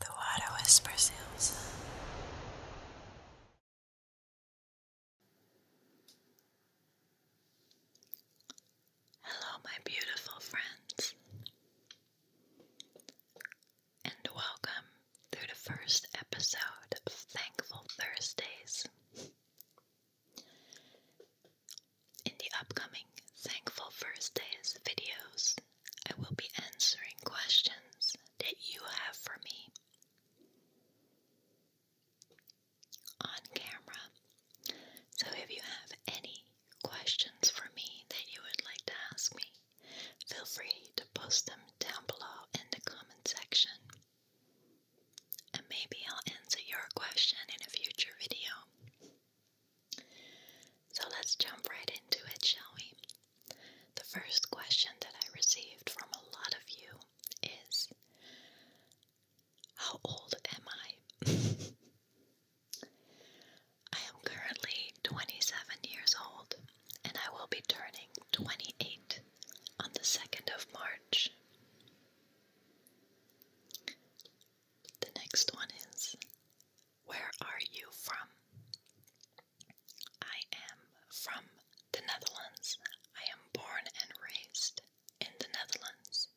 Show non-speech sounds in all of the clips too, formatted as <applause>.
The water whispers Hello, my beautiful friends, and welcome to the first episode of Thankful Thursdays. In the upcoming Thankful Thursdays videos, I will be answering questions that you have for me on camera. So if you have any questions for me that you would like to ask me, feel free to post them down below in the comment section. And maybe I'll answer your question in a future video. So let's jump right into it, shall we? The first question that I received from a lot of you is How old am I? <laughs> I am currently 27 years old and I will be turning 28 on the 2nd of March. The next one is where are you from? I am from the Netherlands. I am born and raised in the Netherlands.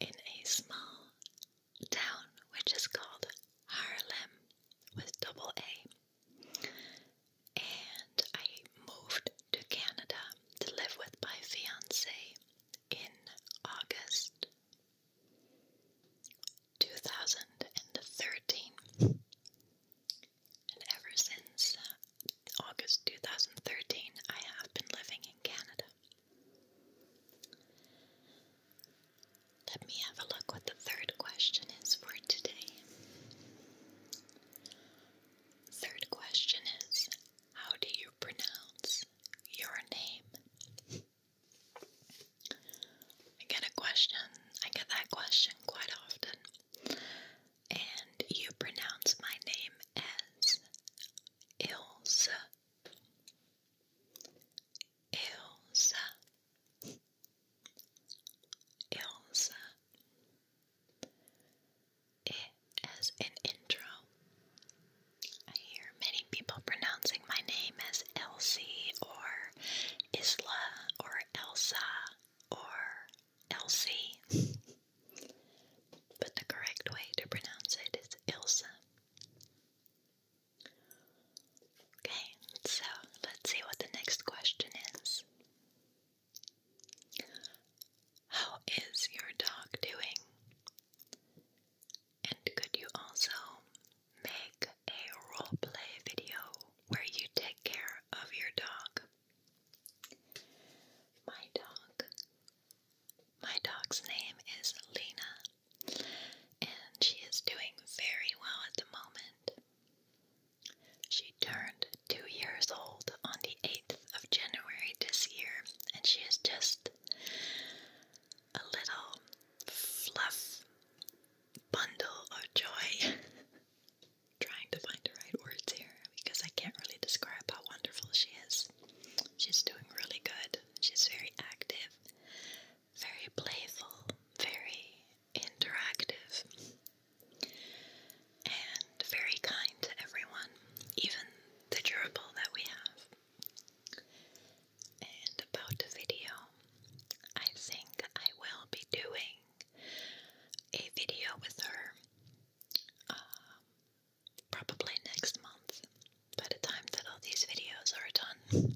In a small town which is called Harlem, with double A. And I moved to Canada to live with my fiance in August 2013. And ever since uh, August 2013, I have been living in Canada. Let me have a look what the third question is for today. Third question is How do you pronounce your name? I get a question, I get that question quite often, and you pronounce my name as Ilse. Ilse. Ilse it as an intro. I hear many people pronouncing my name as Elsie or Isla or Elsa or Elsie. but the correct way to pronounce it is Elsa. Okay, so let's see what the next question is. How is your dog doing? And could you also make a roleplay video where you take care of your dog? My dog. My dog's name is Lena, and she is doing very well at the moment. She turned two years old on the 8th of January this year, and she is just a little fluff bundle of joy. <laughs> Trying to find the right words here because I can't really describe how wonderful she is. She's doing really good. She's very active, very playful, very interactive, and very kind to everyone, even the gerbil that we have. And about the video, I think I will be doing a video with her um, probably next month by the time that all these videos are done.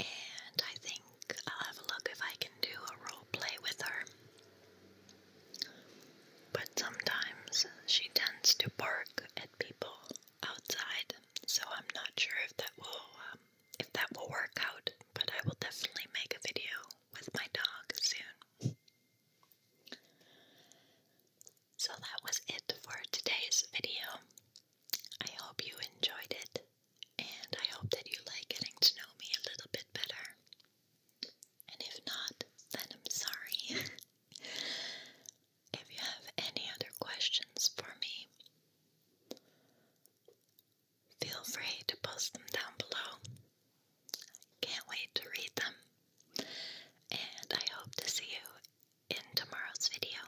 And I think I'll have a look if I can do a role play with her. But sometimes she tends to bark at people outside, so I'm not sure if that will um, if that will work out. But I will definitely make a video with my dog soon. So that was it for today's video. I hope you enjoyed it, and I hope that you like getting to know me a little bit better. And if not, then I'm sorry. <laughs> if you have any other questions for me, feel free to post them down below. I Can't wait to read them. And I hope to see you in tomorrow's video.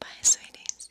Bye, sweeties.